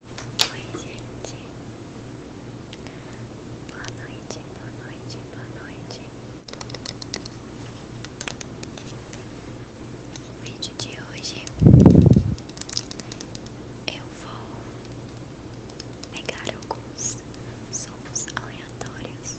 Oi, gente. Boa noite, boa noite, boa noite. vídeo de hoje eu vou pegar alguns sons aleatórios.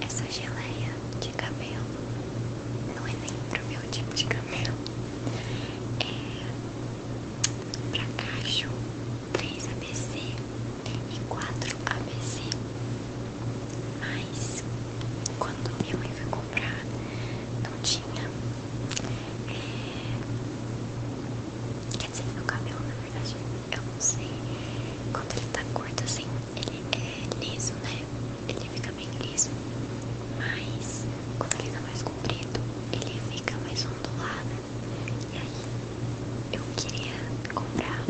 Essa geleia de cabelo não é nem pro meu tipo de cabelo, é pra cacho três ABC e quatro ABC. Mas quando minha mãe foi comprar, não tinha. É, quer dizer, meu cabelo na verdade, eu não sei. Quando ele tá curto assim, ele é liso, né? Ele fica bem liso. Mas quando ele tá mais comprido, ele fica mais ondulado. E aí eu queria comprar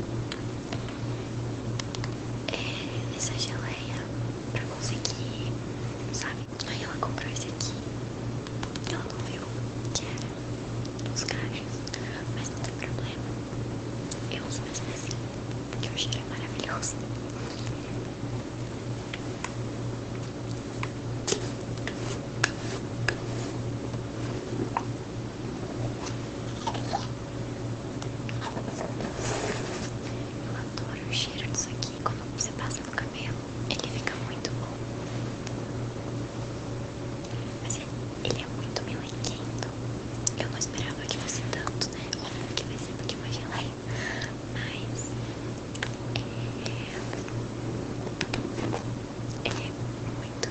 é, essa geleia pra conseguir, sabe? Aí ela comprou esse aqui. Ela não viu que era é dos cachos, mas não tem problema. Eu uso mesmo assim, porque o cheiro é maravilhoso. Eu adoro o cheiro disso aqui. Quando você passa no cabelo, ele fica muito bom. Mas é, ele é muito melenquento. Eu não esperava que fosse tanto, né? Óbvio que vai ser porque uma geleia. Mas ele é, é muito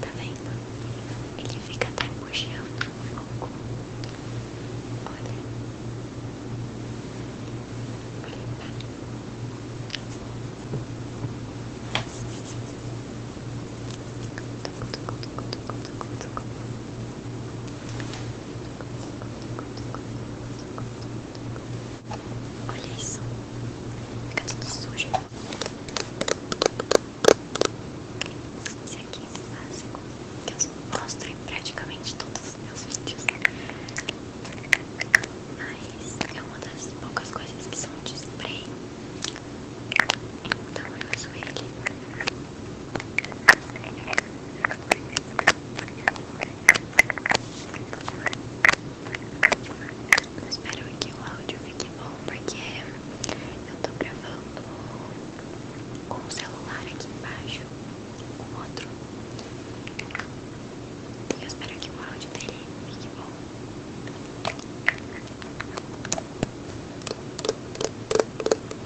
Tá vendo? Ele fica até puxando um pouco. Olha. Vou limpar. Vou Olha isso. Fica tudo sujo. Esse aqui é o básico que eu mostro em praticamente todos os meus vídeos. Mas é uma das poucas coisas que são de spray. Então eu uso ele espero que o áudio fique bom porque eu tô gravando com o celular aqui embaixo, com outro. E eu espero que o áudio dele fique bom.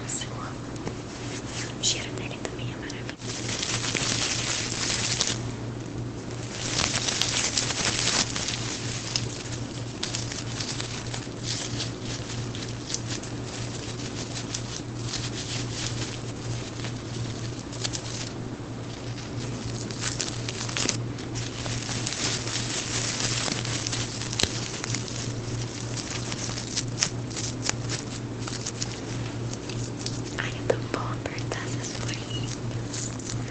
Nossa, eu amo. O cheiro dele também é maravilhoso. I have the bomber dresses for you.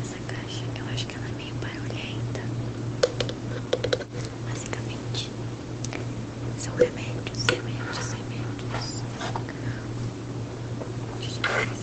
Essa caixa eu acho que ela é meio barulhenta. Basicamente, são remédios, remédios, remédios. Deixa eu ver é isso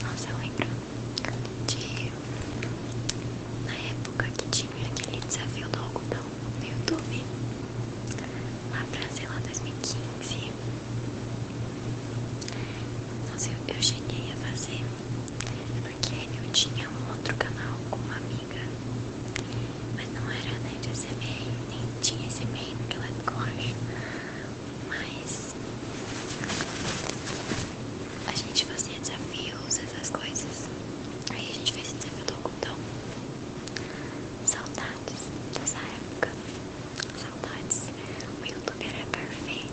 Nossa, eu lembro de na época que tinha aquele desafio do algodão no YouTube, lá pra sei lá 2015. Nossa, eu, eu cheguei a fazer porque eu tinha um outro canal com uma amiga, mas não era né, de SMR, nem tinha SMR naquela época, eu acho. Mas a gente fazia desafios, essas coisas. Aí a gente fez o desafio do algodão. Saudades dessa época. Saudades. O YouTube era perfeito.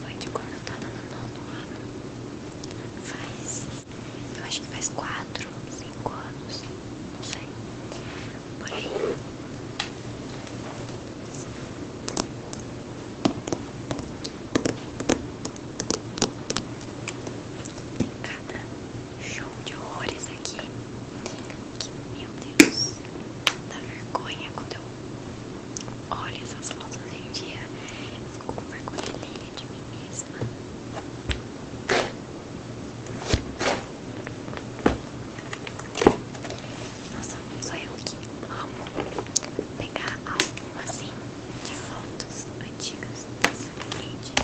Foi de quando eu tava no nono ano. Faz. Eu acho que faz quatro, cinco anos. Não sei. Por aí. Tem cada show de horrores aqui que, meu Deus, dá vergonha quando eu olho essas fotos hoje em dia. Eu fico com vergonha alheia de mim mesma. Nossa, só eu que amo pegar algo assim de fotos antigas dessa rede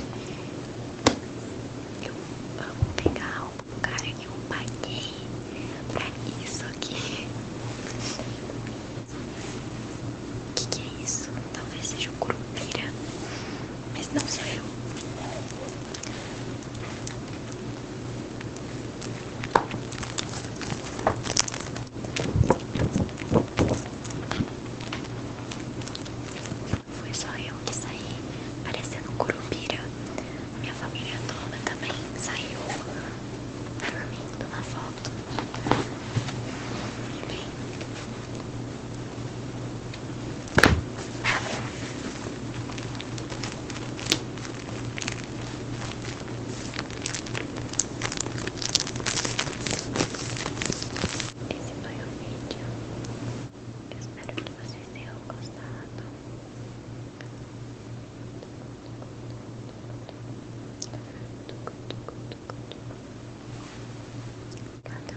eu vou pegar o cara que eu paguei pra isso aqui. O que, é isso? Talvez seja um curupira, mas não sou eu foi só eu que saí parecendo um curupira. Minha família toda também saiu dormindo na foto. E bem. Esse foi o vídeo eu espero que vocês tenham gostado.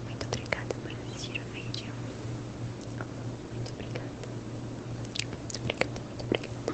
muito obrigada por assistir o vídeo. Muito obrigada. Muito obrigada, muito obrigada.